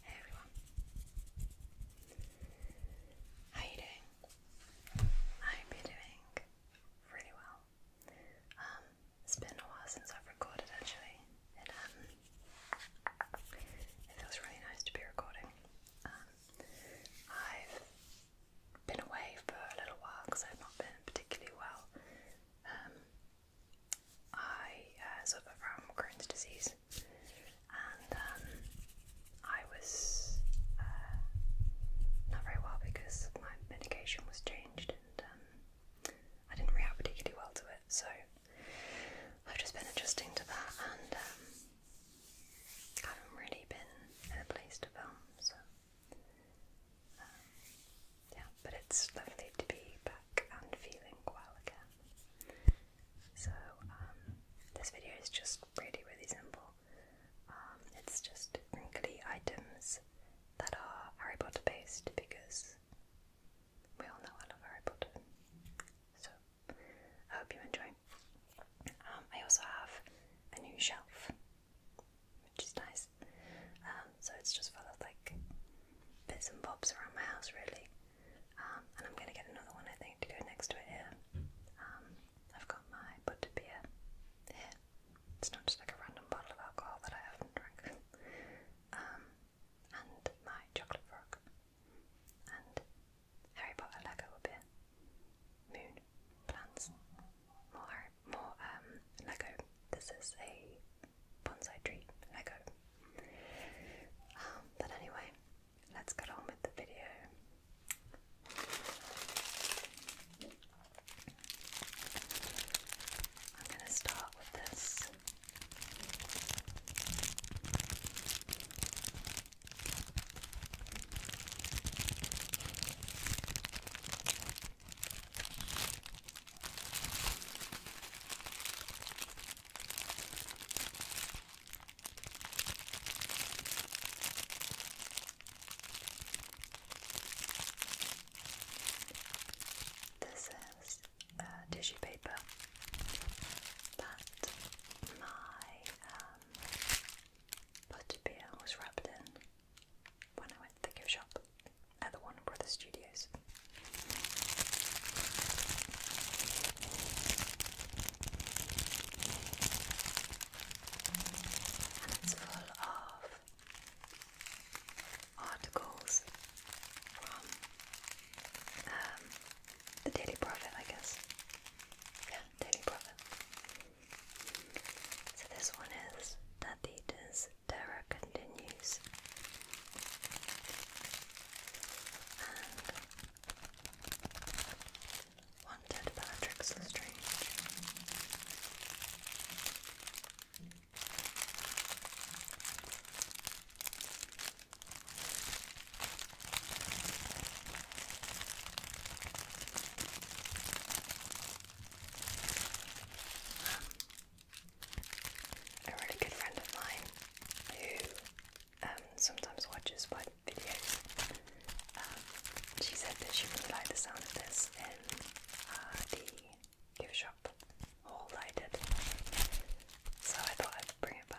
Hey everyone. How you doing? I hope doing really well. Um, it's been a while since I've recorded actually. It um, it feels really nice to be recording. Um, I've been away for a little while because I've not been particularly well. I uh, from Crohn's disease, and um, I was uh, not very well because my medication was changed, and um, I didn't react particularly well to it. So I've just been adjusting to that, and um, haven't really been in a place to film, um, yeah, but it's lovely to be back and feeling well again. So um, this video is just really, really simple. Um, it's just wrinkly items that are Harry Potter based because we all know I love Harry Potter. So I hope you enjoy. I also have a new shelf which is nice. Um, so it's just full of like bits and bobs around my house, really. Um, and I'm gonna get another one, I think, to go next to it here. Um, I've got my butter beer here. It's not just like a random bottle of alcohol that I haven't drank. and my chocolate frog. And Harry Potter Lego up here. Moon, plants, more more um, Lego. This is a bonsai tree Lego. Um, but anyway, let's get on with the video. I'm going to start with this. This is uh, tissue paper that my butterbeer um, was wrapped in when I went to the gift shop at the Warner Brothers Studios. And it's full of articles from um, the Daily Prophet, I guess. Yeah, Daily Prophet. So this one is that the eaters Dara continues. wanted Bellatrix Lestrange a really good friend of mine who um, sometimes watches my videos. Um, she said that she really liked the sound of this in uh, the gift shop haul that so I thought I'd bring it back.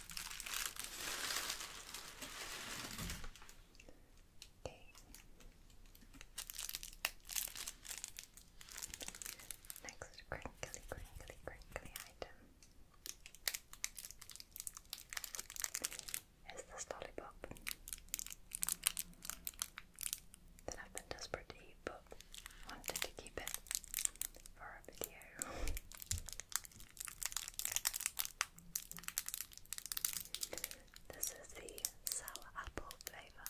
Okay. Next crinkly, crinkly, crinkly item is this lollipop that I've been desperate to eat but wanted to keep it for a This is the sour apple flavour.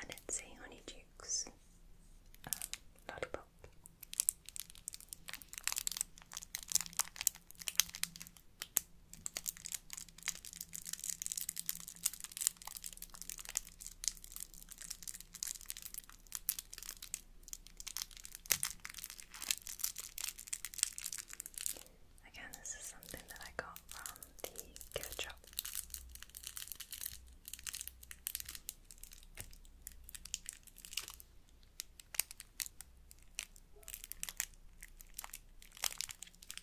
And it's a Honey Dukes um, Again, this is something that I got from the gift shop.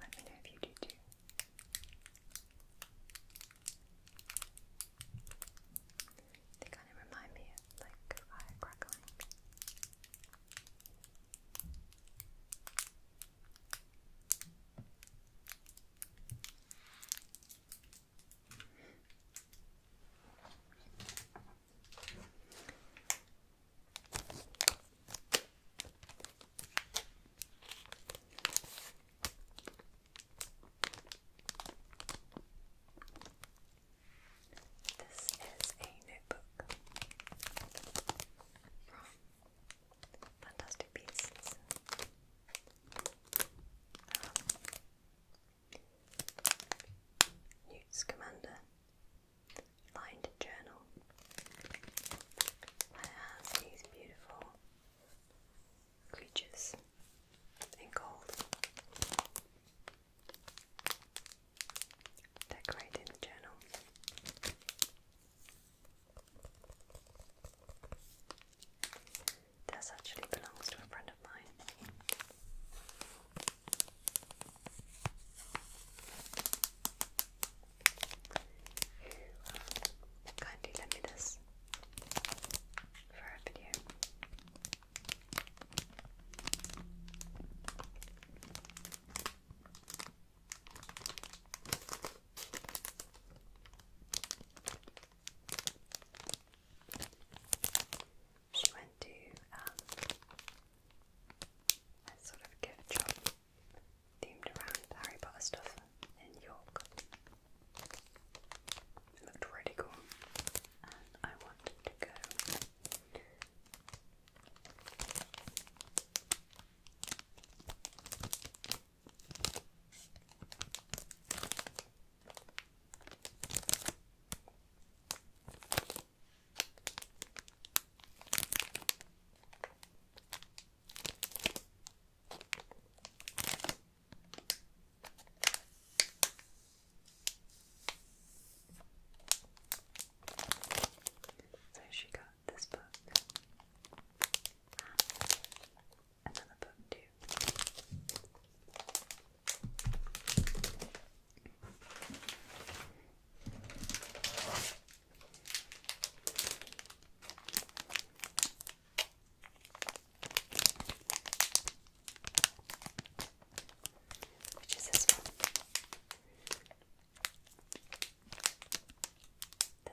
Let me know if you do too. They kind of remind me of like fire crackling. This is a notebook from Fantastic Beasts. Um, Newt's Commander lined journal. And it these beautiful creatures in gold decorating the journal. This actually belongs to a friend of mine who you lent me this for a video. She went to um, a sort of gift shop themed around Harry Potter stuff in York. It looked really cool, and I wanted to go. So she got this book. Another book too. Which is this one?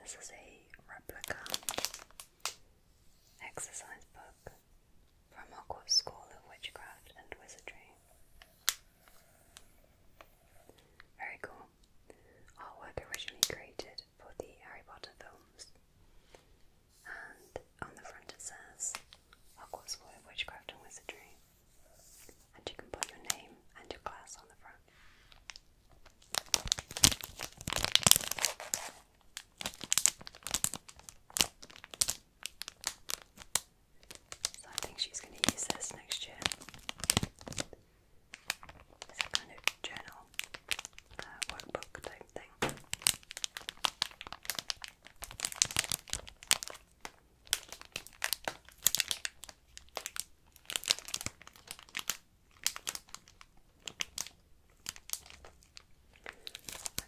This is a replica exercise book from Hogwarts School of Witchcraft and Wizardry. Very cool. Artwork originally created for the Harry Potter films. And on the front it says Hogwarts School of Witchcraft and Wizardry. And you can put your name and your class on the front. So I think she's going to use this next year as a kind of journal, uh, workbook type thing. I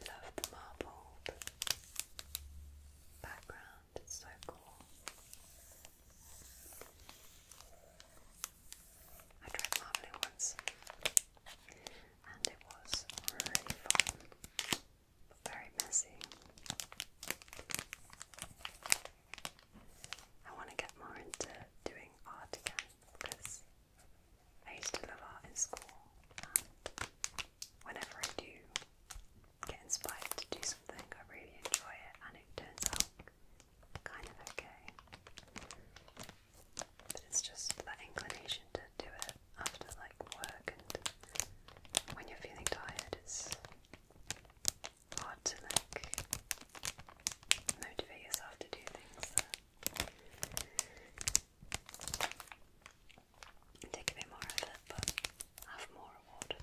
love the marbled background, it's so cool. I tried Marmalade once and it was really fun but very messy. I want to get more into doing art again because I used to love art in school and whenever I do get inspired to do something, I really enjoy it, and it turns out kind of okay. But it's just that inclination to do it after like work and when you're feeling tired, it's hard to like motivate yourself to do things take a bit more effort but have more reward.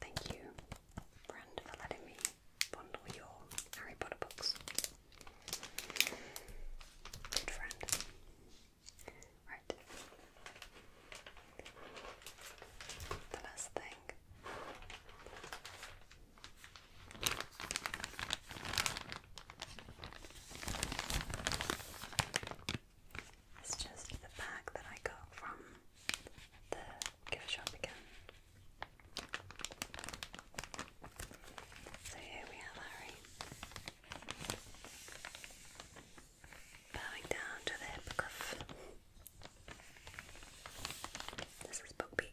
thank you, Brand, for letting me bundle your Harry Potter books. Good friend. Right. The last thing. It's just the bag that I got from the gift shop again. So here we have Harry bowing down to the hippogriff. This is Book Peak.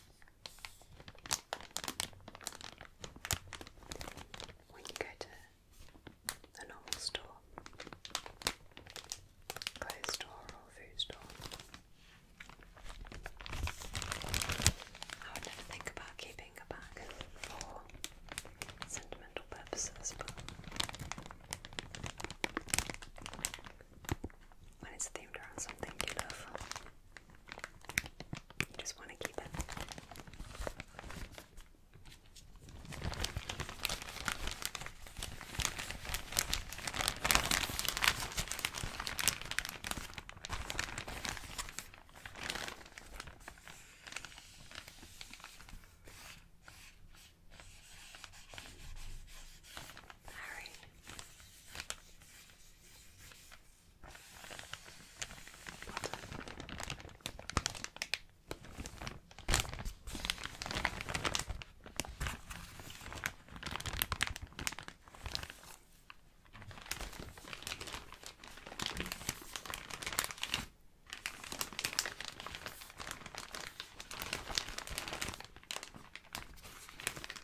When you go to a normal store, clothes store or food store, I would never think about keeping a bag for sentimental purposes, when it's themed around something you love. You just want to keep it. Harry.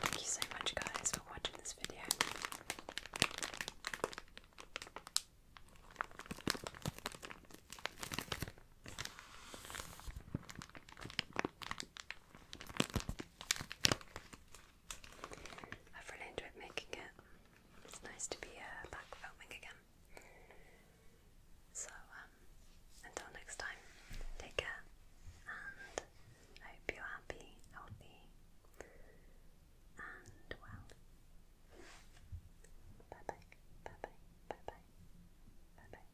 Thank you so much, guys, for watching this video. I've really enjoyed making it. It's nice to be uh, back filming again. So, um, until next time, take care, and I hope you're happy, healthy, and well. Bye bye, bye bye, bye bye, bye bye.